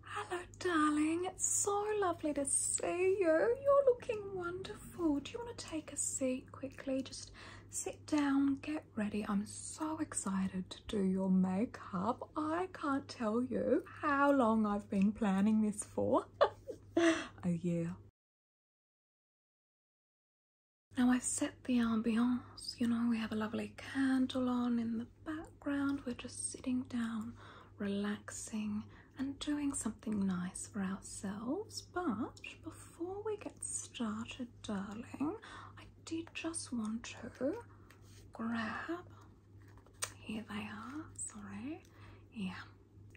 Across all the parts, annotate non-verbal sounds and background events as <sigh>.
Hello, darling. It's so lovely to see you. You're looking wonderful. Do you want to take a seat quickly? Just sit down, get ready. I'm so excited to do your makeup. I can't tell you how long I've been planning this for. <laughs> A year. Now I've set the ambiance, you know, we have a lovely candle on in the background, we're just sitting down, relaxing, and doing something nice for ourselves. But before we get started, darling, I did just want to grab here they are, sorry. Yeah,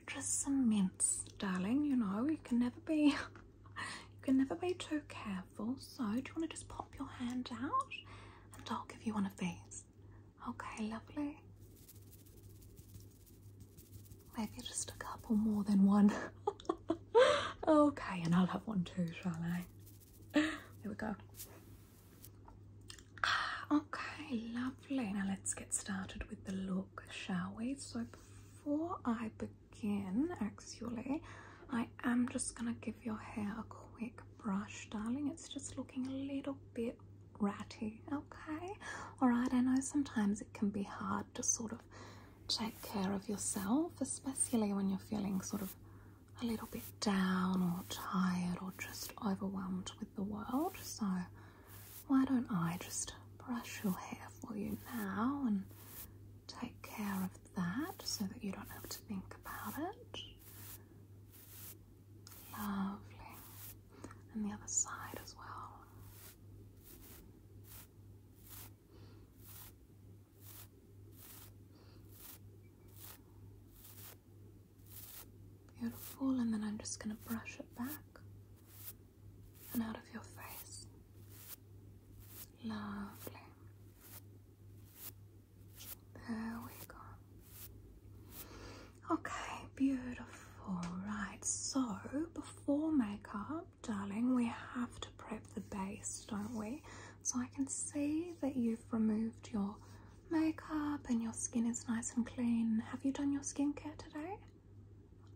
just some mints, darling. You know, you can never be, <laughs> you can never be too careful. So do you want to just pop your hand out and I'll give you one of these? Okay, lovely. Maybe just a couple more than one. <laughs> okay, and I'll have one too, shall I? There we go. Okay, lovely. Now let's get started with the look, shall we? So before I begin, actually, I am just going to give your hair a quick brush, darling. It's just looking a little bit ratty, okay? All right, I know sometimes it can be hard to sort of take care of yourself, especially when you're feeling sort of a little bit down or tired or just overwhelmed with the world. So why don't I just brush your hair for you now and take care of that so that you don't have to think about it? Lovely. And the other side as well. Beautiful, and then I'm just going to brush it back and out of your face. Lovely. There we go. Okay, beautiful. Right, so before makeup, darling, we have to prep the base, don't we? So I can see that you've removed your makeup and your skin is nice and clean. Have you done your skincare today?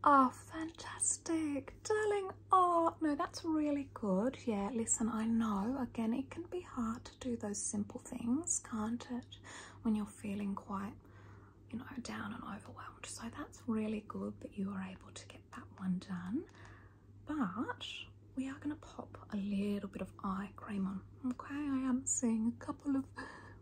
Oh, fantastic. Darling, oh, no, that's really good. Yeah, listen, I know, again, it can be hard to do those simple things, can't it? When you're feeling quite, you know, down and overwhelmed. So that's really good that you were able to get that one done. But we are going to pop a little bit of eye cream on. Okay, I am seeing a couple of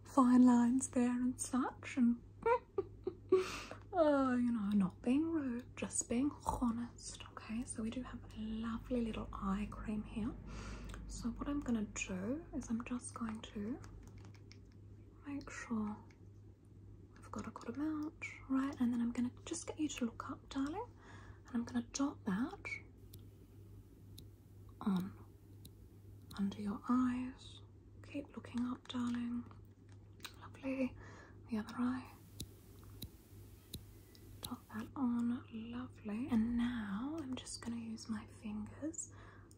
fine lines there and such. And, <laughs> oh, you know, not being rude, just being honest okay so we do have a lovely little eye cream here so what i'm going to do is i'm just going to make sure i've got a good amount right and then i'm going to just get you to look up darling and i'm going to dot that on under your eyes keep looking up darling lovely the other eye Pop that on, lovely. And now I'm just going to use my fingers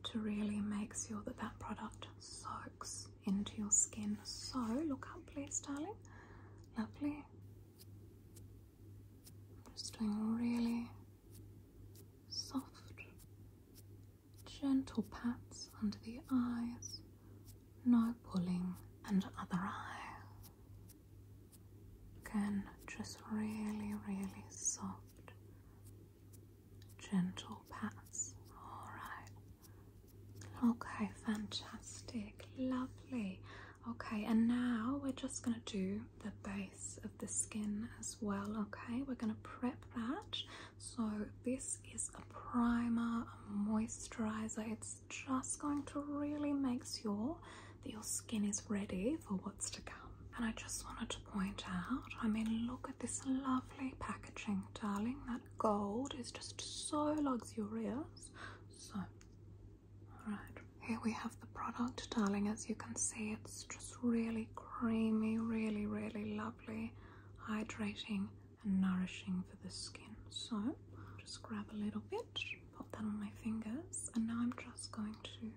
to really make sure that that product soaks into your skin. So look up, please, darling. Lovely. I'm just doing really soft, gentle pats under the eyes no pulling and other eye. Again, just really, really soft, gentle pats. Alright. Okay, fantastic. Lovely. Okay, and now we're just going to do the base of the skin as well. Okay, we're going to prep that. So, this is a primer, a moisturizer. It's just going to really make sure that your skin is ready for what's to come. And I just wanted to point out, I mean, look at this lovely packaging, darling. That gold is just so luxurious. So, all right, here we have the product, darling. As you can see, it's just really creamy, really, really lovely, hydrating and nourishing for the skin. So just grab a little bit, put that on my fingers, and now I'm just going to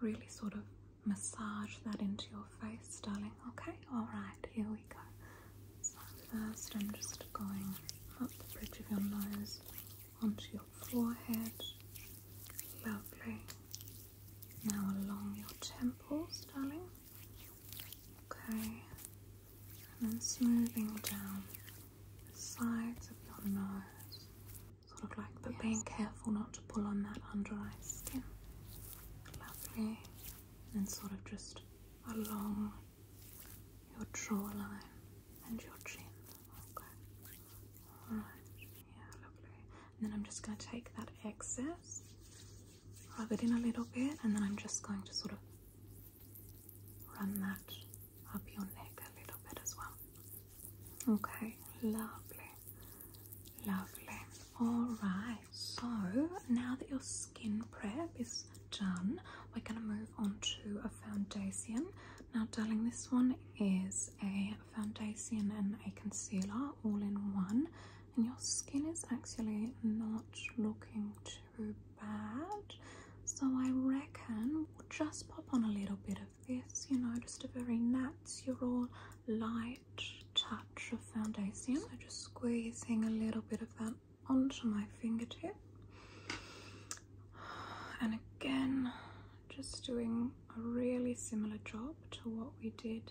really sort of massage that into your face, darling. Okay, alright, here we go. So first I'm just going up the bridge of your nose onto your forehead. Lovely. Now along your temples, darling. Okay, and then smoothing down the sides of your nose, sort of like, but being careful not to pull on that under eye skin. Lovely, and sort of just along your jawline and your chin. Okay, all right, yeah, lovely. And then I'm just going to take that excess, rub it in a little bit, and then I'm just going to sort of run that up your neck a little bit as well. Okay, lovely, lovely. Alright, so now that your skin prep is done, we're going to move on to a foundation. Now, darling, this one is a foundation and a concealer all in one, and your skin is actually not looking too too bad. So I reckon we'll just pop on a little bit of this, you know, just a very natural, light touch of foundation. So just squeezing a little bit of that onto my fingertip. And again, just doing a really similar job to what we did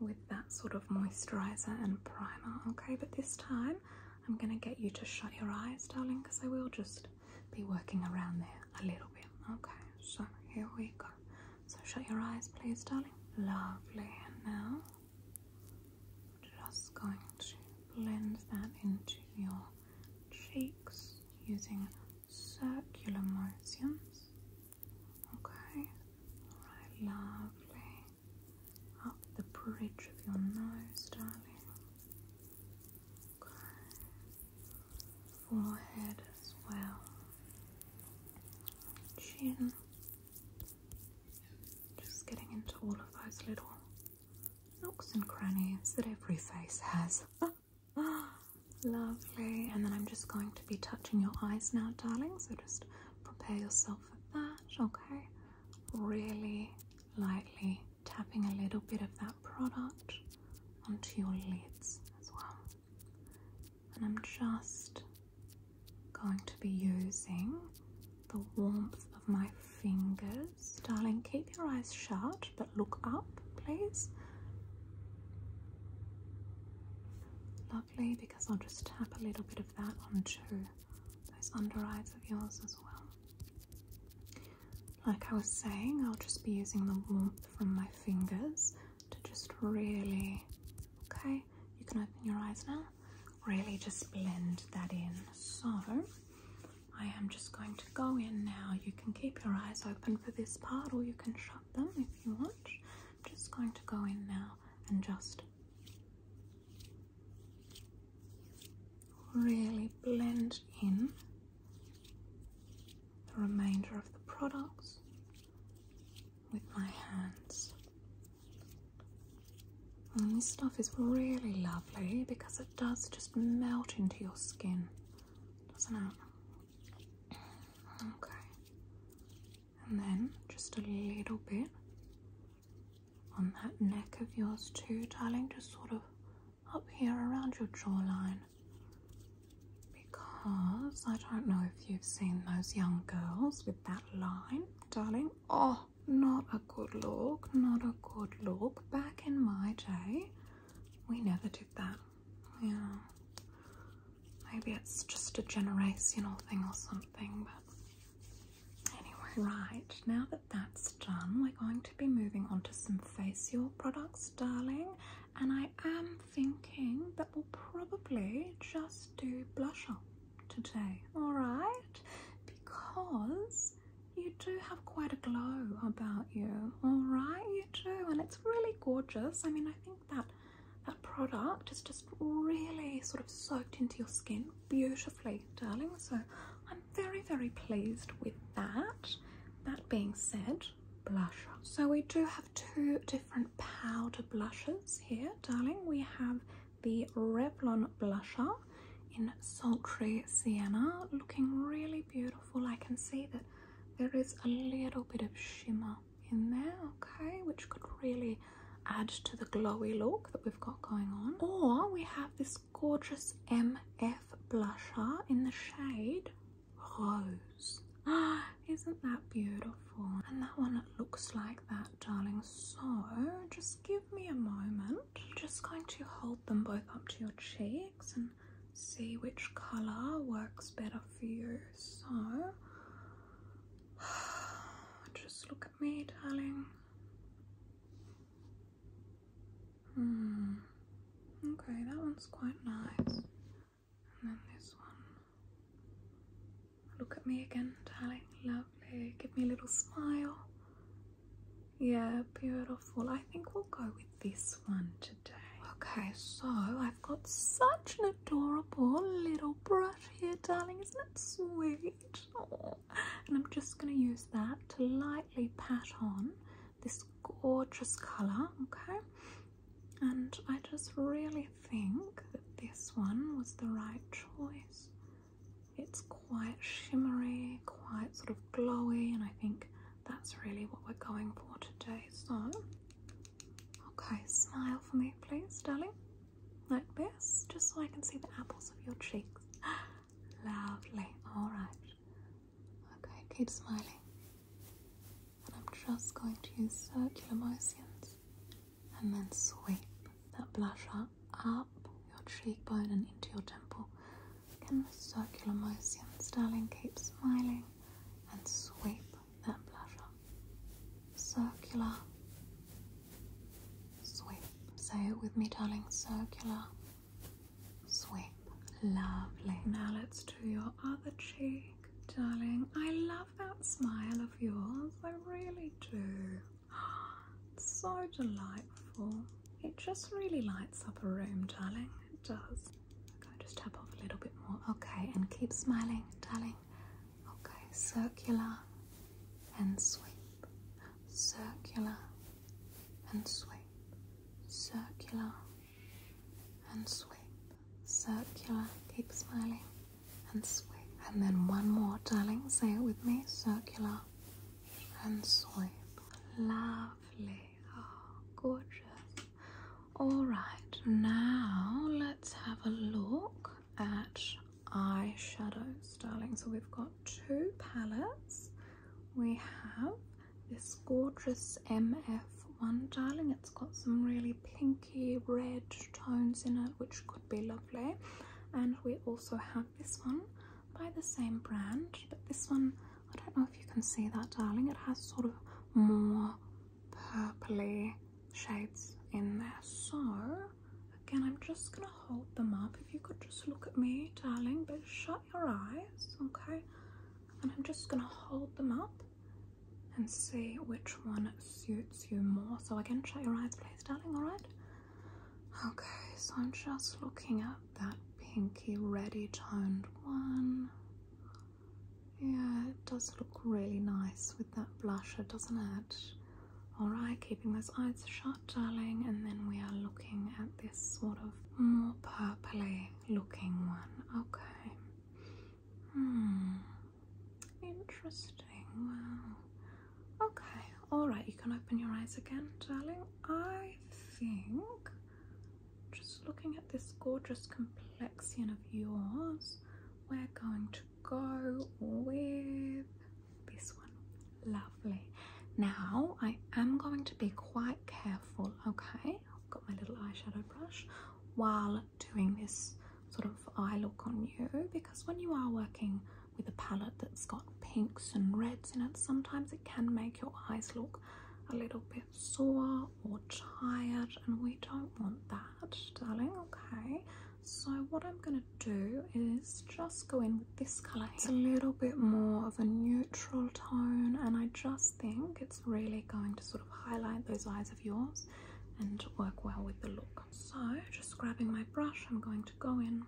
with that sort of moisturizer and primer okay but this time I'm going to get you to shut your eyes, darling, because I will just be working around there a little bit. Okay, so here we go. So shut your eyes, please, darling. Lovely. And now, just going to blend that into your cheeks using circular motions. Okay, all right, lovely up the bridge of your nose, darling. Okay. Forehead as well. Chin. Just getting into all of those little nooks and crannies that every face has. <laughs> Lovely. And then I'm just going to be touching your eyes now, darling. So just prepare yourself for that match, okay? Really lightly tapping a little bit of that product onto your lids as well. And I'm just going to be using the warmth of my fingers. Darling, keep your eyes shut, but look up, please. Lovely, because I'll just tap a little bit of that onto those under eyes of yours as well. Like I was saying, I'll just be using the warmth from my fingers to just really, okay, you can open your eyes now, really just blend that in. So I am just going to go in now. You can keep your eyes open for this part or you can shut them if you want. I'm just going to go in now and just really blend in the remainder of the products with my hands. this stuff is really lovely because it does just melt into your skin, doesn't it? Okay, and then just a little bit on that neck of yours too, darling, just sort of up here around your jawline. Because I don't know if you've seen those young girls with that line, darling. Oh, not a good look, not a good look. Back in my day, we never did that. Yeah. Maybe it's just a generational thing or something, but anyway. Right, now that that's done, we're going to be moving on to some facial products, darling. And I am thinking that we'll probably just do blush up today, alright? Because you do have quite a glow about you, alright? You do, and it's really gorgeous. I mean, I think that that product is just really sort of soaked into your skin beautifully, darling. So I'm very, very pleased with that. That being said, blusher. So we do have two different powder blushes here, darling. We have the Revlon blusher in Sultry Sienna, looking really beautiful. I can see that there is a little bit of shimmer in there, okay, which could really add to the glowy look that we've got going on. Or we have this gorgeous MF blusher in the shade Rose. <gasps> Isn't that beautiful? And that one looks like that, darling. So just give me a moment. just going to hold them both up to your cheeks and see which color works better for you. So <sighs> Just look at me, darling. Hmm. Okay, that one's quite nice. And then this one. Look at me again, darling. Lovely. Give me a little smile. Yeah, beautiful. I think we'll go with this one today. Okay, so I I've got such an adorable little brush here, darling. Isn't it sweet? And I'm just going to use that to lightly pat on this gorgeous colour, okay? And I just really think that this one was the right choice. It's quite shimmery, quite sort of glowy, and I think that's really what we're going for today. So Okay, smile for me, please, darling. Like this, just so I can see the apples of your cheeks. <gasps> Lovely. All right. Okay, keep smiling. And I'm just going to use circular motions and then sweep that blusher up your cheekbone and into your temple. Can we circular motions, darling. Keep smiling and sweep that pleasure. Circular sweep. Say it with me, darling. Circular sweep. Lovely. Now let's do your other cheek, darling. I love that smile of yours. I really do. <gasps> so delightful. It just really lights up a room, darling. It does. Okay, just tap off a little bit more. Okay, and keep smiling, darling. Okay, circular and sweep, circular and sweep, circular and sweep, circular, keep smiling, and sweep. And then one more, darling, say it with me circular and sweep. Lovely, oh, gorgeous. All right, now let's have a look at eyeshadows, darling. So we've got two palettes. We have this gorgeous MF one, darling. It's got some really pinky red tones in it, which could be lovely. And we also have this one by the same brand, but this one, I don't know if you can see that, darling. It has sort of more purpley shades in there. So again, I'm just gonna hold them up. If you could just look at me, darling, but shut your eyes, okay? And I'm just gonna hold them up and see which one suits you more. So again, shut your eyes, please, darling, all right? Okay, so I'm just looking at that pinky ready toned one. Yeah, it does look really nice with that blusher, doesn't it? Alright, keeping those eyes shut, darling, and then we are looking at this sort of more purply looking one. Okay. Hmm. Interesting. Wow. Okay. Alright, you can open your eyes again, darling. I think just looking at this gorgeous complexion of yours, we're going to go with this one. Lovely. Now, I am going to be quite careful, okay? I've got my little eyeshadow brush while doing this sort of eye look on you because when you are working with a palette that's got pinks and reds in it, sometimes it can make your eyes look a little bit sore or tired, and we don't want that, darling. Okay, so what I'm gonna do is just go in with this color. It's a little bit more of a neutral tone, and I just think it's really going to sort of highlight those eyes of yours and work well with the look. So, just grabbing my brush, I'm going to go in,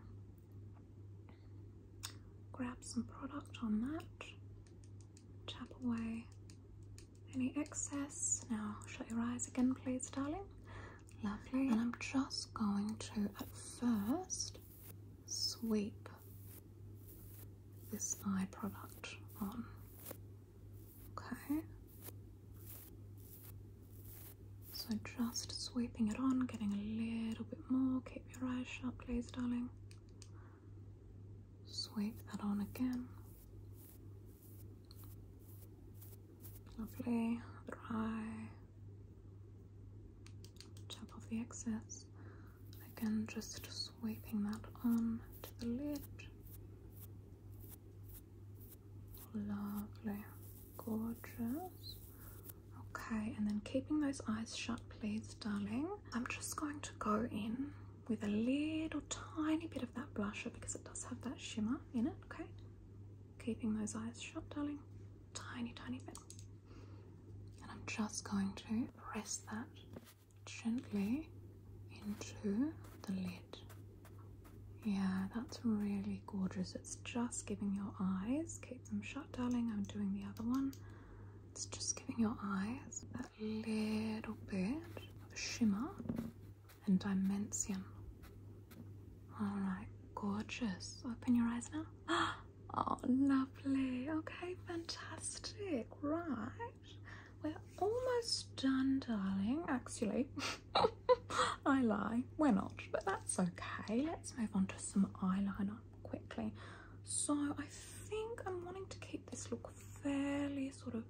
grab some product on that chop away any excess. Now shut your eyes again, please, darling. Lovely. And I'm just going to, at first, sweep this eye product on. Okay. So just sweeping it on, getting a little bit more. Keep your eyes shut, please, darling. Swipe that on again. Lovely. Other eye. Top of the excess. Again, just sweeping that on to the lid. Lovely. Gorgeous. Okay, and then keeping those eyes shut, please, darling. I'm just going to go in with a little tiny bit of that blusher because it does have that shimmer in it, okay? Keeping those eyes shut, darling. Tiny, tiny bit. And I'm just going to press that gently into the lid. Yeah, that's really gorgeous. It's just giving your eyes, keep them shut, darling. I'm doing the other one. It's just giving your eyes that little bit of shimmer and dimension. Alright, gorgeous. Open your eyes now. <gasps> Oh, lovely. Okay, fantastic. Right. We're almost done, darling. Actually, <laughs> I lie. We're not, but that's okay. Let's move on to some eyeliner quickly. So I think I'm wanting to keep this look fairly sort of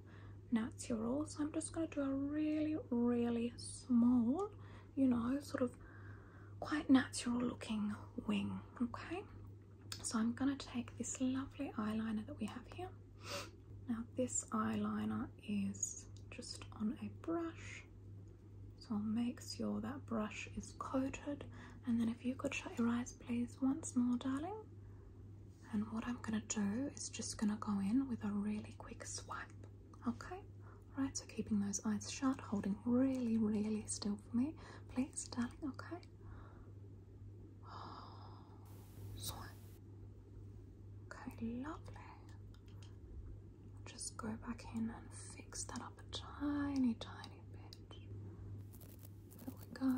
natural. So I'm just going to do a really, really small, you know, sort of quite natural looking wing. Okay. So I'm going to take this lovely eyeliner that we have here. Now this eyeliner is just on a brush. So I'll make sure that brush is coated. And then if you could shut your eyes please once more, darling. And what I'm gonna do is just gonna go in with a really quick swipe, okay? Right, so keeping those eyes shut, holding really, really still for me, please, darling, okay? <gasps> Swipe. Okay, lovely. Just go back in and fix that up a tiny, tiny bit. There we go.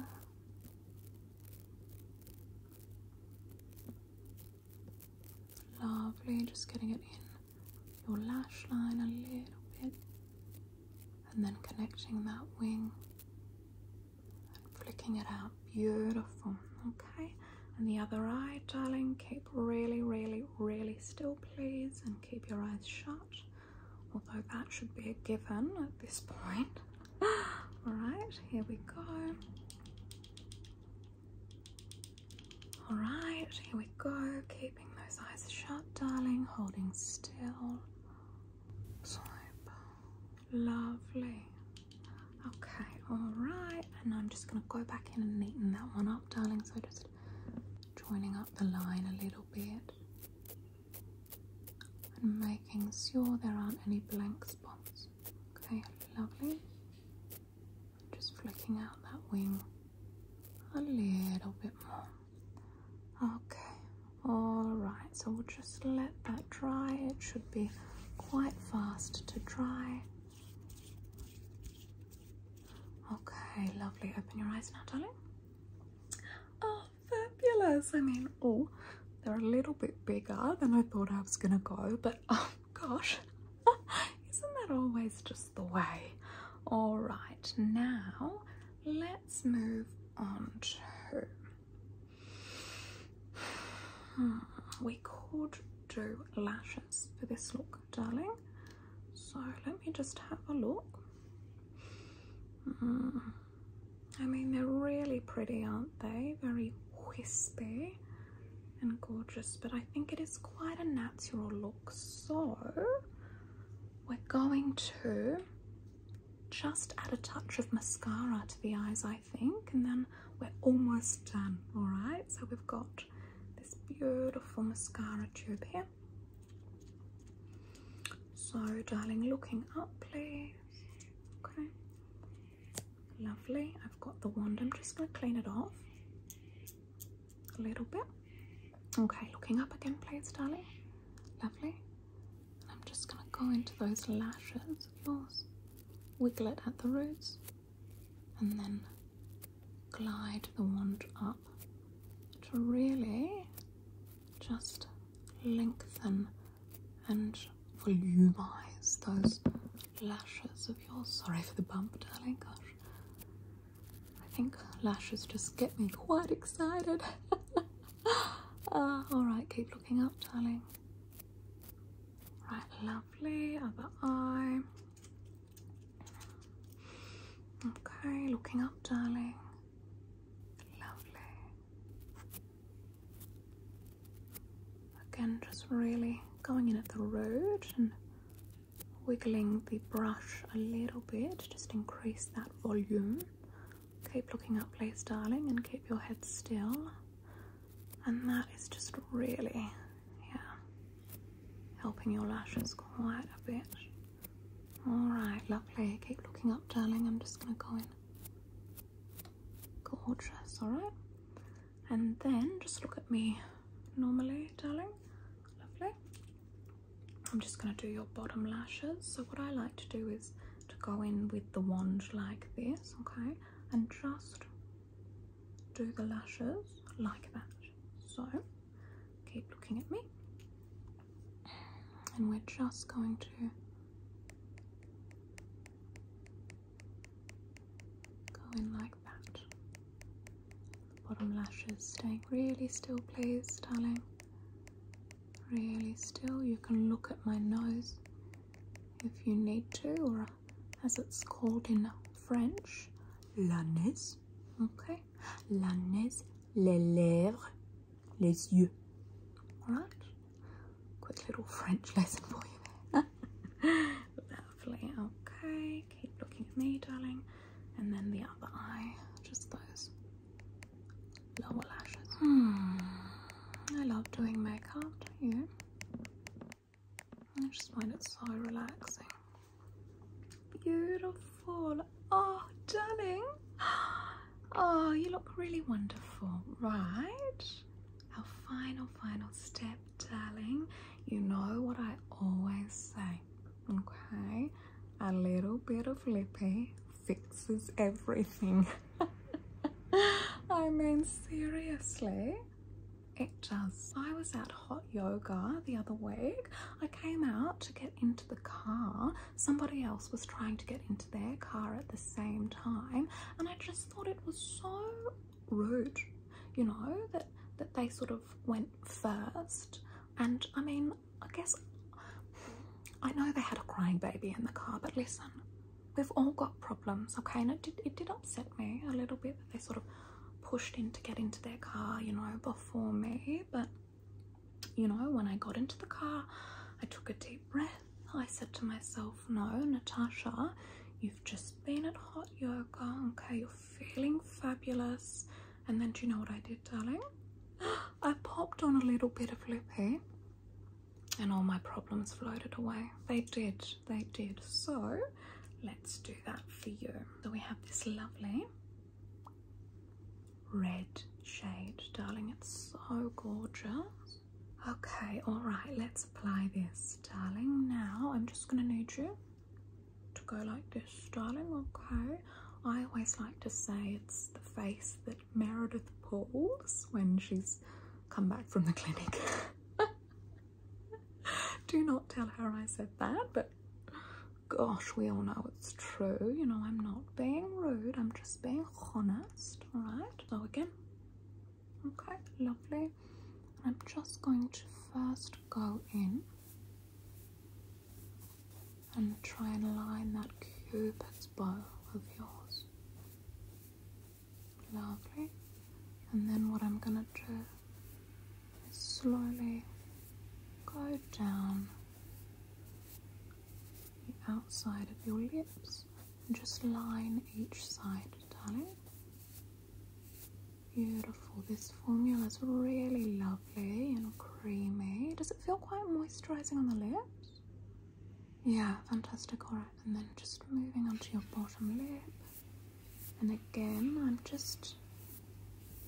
Lovely, just getting it in your lash line a little bit and then connecting that wing and flicking it out. Beautiful, okay? And the other eye, darling, keep really, really, really still, please, and keep your eyes shut although that should be a given at this point. <gasps> All right, here we go. All right, here we go. Keeping those eyes shut, darling, holding still. Lovely. Okay, all right. And I'm just gonna go back in and neaten that one up, darling. So just joining up the line a little bit and making sure there aren't any blank spots. Okay, lovely. Just flicking out that wing a little bit more. Okay, alright, so we'll just let that dry. It should be quite fast to dry. Okay, lovely. Open your eyes now, darling. Oh, fabulous. I mean, oh, they're a little bit bigger than I thought I was gonna go, but oh gosh, <laughs> isn't that always just the way? All right, now let's move on to. <sighs> we could do lashes for this look, darling. So let me just have a look. Mm. I mean, they're really pretty, aren't they? Very wispy and gorgeous, but I think it is quite a natural look. So we're going to just add a touch of mascara to the eyes, I think, and then we're almost done, all right? So we've got this beautiful mascara tube here. So, darling, looking up, please. Okay. Lovely. I've got the wand. I'm just going to clean it off a little bit. Okay, looking up again, please, darling. Lovely. I'm just going to go into those lashes, of course. Wiggle it at the roots. And then glide the wand up to really just lengthen and volumise those lashes of yours. Sorry for the bump, darling. Gosh, I think lashes just get me quite excited. <laughs> Ah, all right, keep looking up, darling. Right, lovely. Other eye. Okay, looking up, darling. Lovely. Again, just really going in at the root and wiggling the brush a little bit, just increase that volume. Keep looking up, please, darling, and keep your head still. And that is just really, yeah, helping your lashes quite a bit. Alright, lovely. Keep looking up, darling. I'm just going to go in. Gorgeous, alright? And then just look at me normally, darling. Lovely. I'm just going to do your bottom lashes. So what I like to do is to go in with the wand like this, okay? And just do the lashes like that. So keep looking at me, and we're just going to go in like that. Bottom lashes staying really still, please, darling. Really still. You can look at my nose if you need to, or as it's called in French, la nez. Okay. La nez, les lèvres, les yeux. Alright. Quick little French lesson for you there. <laughs> Lovely. Okay. Keep looking at me, darling. And then the other eye. Just those lower lashes. Hmm. I love doing makeup, do I just find it so relaxing. Beautiful. Oh, darling. Oh, you look really wonderful, right? Our final, final step, darling. You know what I always say, okay? A little bit of lippy fixes everything. <laughs> I mean, seriously, it does. I was at hot yoga the other week. I came out to get into the car. Somebody else was trying to get into their car at the same time, and I just thought it was so rude, you know, that that they sort of went first. And I mean, I guess I know they had a crying baby in the car, but listen, we've all got problems, okay? And it it did upset me a little bit that they sort of pushed in to get into their car, you know, before me. But, you know, when I got into the car, I took a deep breath. I said to myself, no, Natasha, you've just been at hot yoga, okay? You're feeling fabulous. And then do you know what I did, darling? <gasps> I popped on a little bit of lip lippy and all my problems floated away. They did, they did. So Let's do that for you. So we have this lovely red shade. Darling, it's so gorgeous. Okay, all right, let's apply this, darling. Now I'm just gonna need you to go like this, darling, okay? I always like to say it's the face that Meredith pulls when she's come back from the clinic. <laughs> <laughs> Do not tell her I said that, but gosh, we all know it's true. You know, I'm not being rude, I'm just being honest, alright? So, again, okay, lovely. I'm just going to first go in and try and line that cupid's bow of yours. Lovely. And then what I'm gonna do slowly go down the outside of your lips and just line each side, darling. Beautiful. This formula is really lovely and creamy. Does it feel quite moisturizing on the lips? Yeah, fantastic. All right, and then just moving onto your bottom lip and again I'm just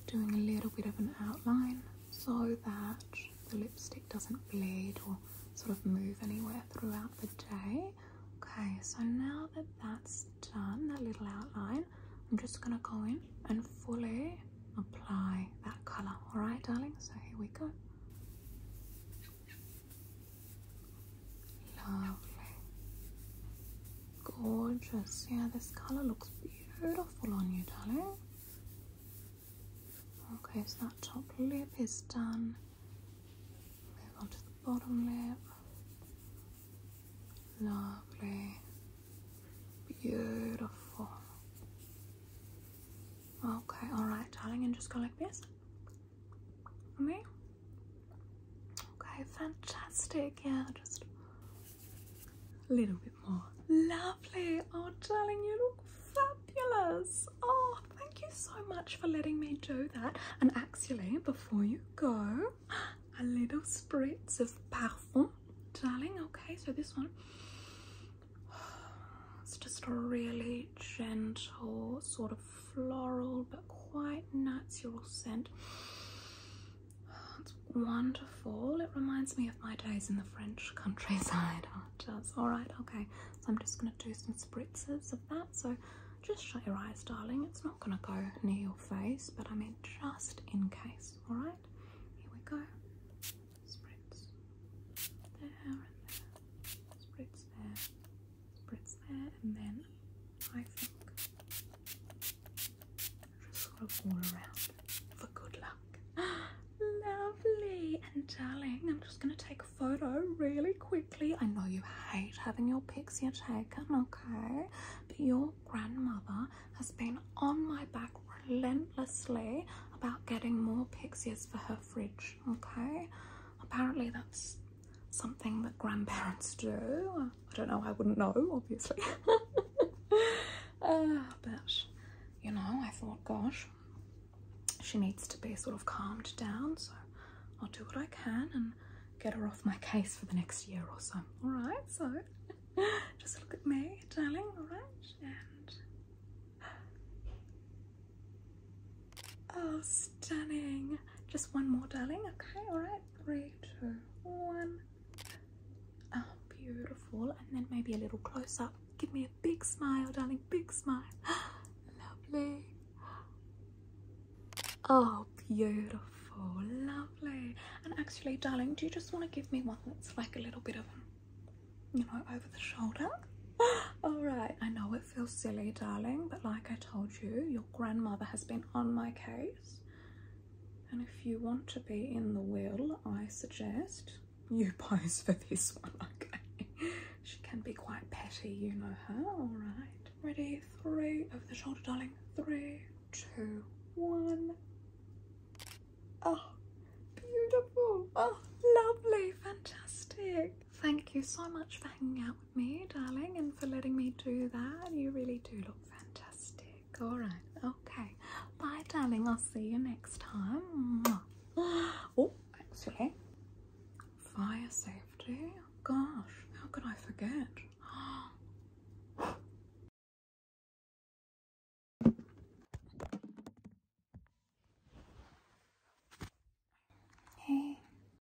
doing a little bit of an outline so that the lipstick doesn't bleed or sort of move anywhere throughout the day okay so now that that's done that little outline I'm just gonna go in and fully apply that color all right darling so here we go lovely Gorgeous. Yeah, this color looks beautiful on you, darling. Okay, so that top lip is done. Move on to the bottom lip. Lovely. Beautiful. Okay, alright, darling, and just go like this. Okay. Okay, fantastic. Yeah, just a little bit more. Lovely. Oh, darling, you look fabulous. Oh, thank you so much for letting me do that. And actually, before you go, <gasps> a little spritz of parfum, darling. Okay, so this one. <sighs> It's just a really gentle sort of floral but quite natural scent. It's wonderful. It reminds me of my days in the French countryside. <laughs> does. All right, okay. So I'm just going to do some spritzes of that. So just shut your eyes, darling. It's not going to go near your face, but I mean just in case. All right, here we go. Spritz there and there. Spritz there. Spritz there and then I think. Just sort all around for good luck. <gasps> Lovely. And darling, I'm just going to take a photo really quickly. I know you hate having your picture taken, okay? But your grandmother has been on my back relentlessly about getting more pixies for her fridge, okay? Apparently that's something that grandparents do. I don't know, I wouldn't know, obviously. <laughs> Uh, but, you know, I thought, gosh, she needs to be sort of calmed down, so I'll do what I can and get her off my case for the next year or so. All right, so <laughs> just look at me, darling, all right? And. Oh, stunning. Just one more, darling, okay, all right? three, two, one. Oh, beautiful. And then maybe a little close up. Give me a big smile, darling. Big smile. <gasps> Lovely. Oh, beautiful. Lovely. And actually, darling, do you just want to give me one that's like a little bit of, you know, over the shoulder? <gasps> All right. I know it feel silly, darling, but like I told you, your grandmother has been on my case. And if you want to be in the will, I suggest you <laughs> pose for this one, okay? she can be quite petty, you know her, all right. Ready, three, over the shoulder, darling. Three, two, one. Oh, beautiful. Oh, lovely, fantastic. Thank you so much for hanging out with me, darling, and for letting me do that. You really do look fantastic. All right, okay. Bye, darling. I'll see you next time. Oh, actually, fire safety. Gosh, how could I forget? <gasps> Hey.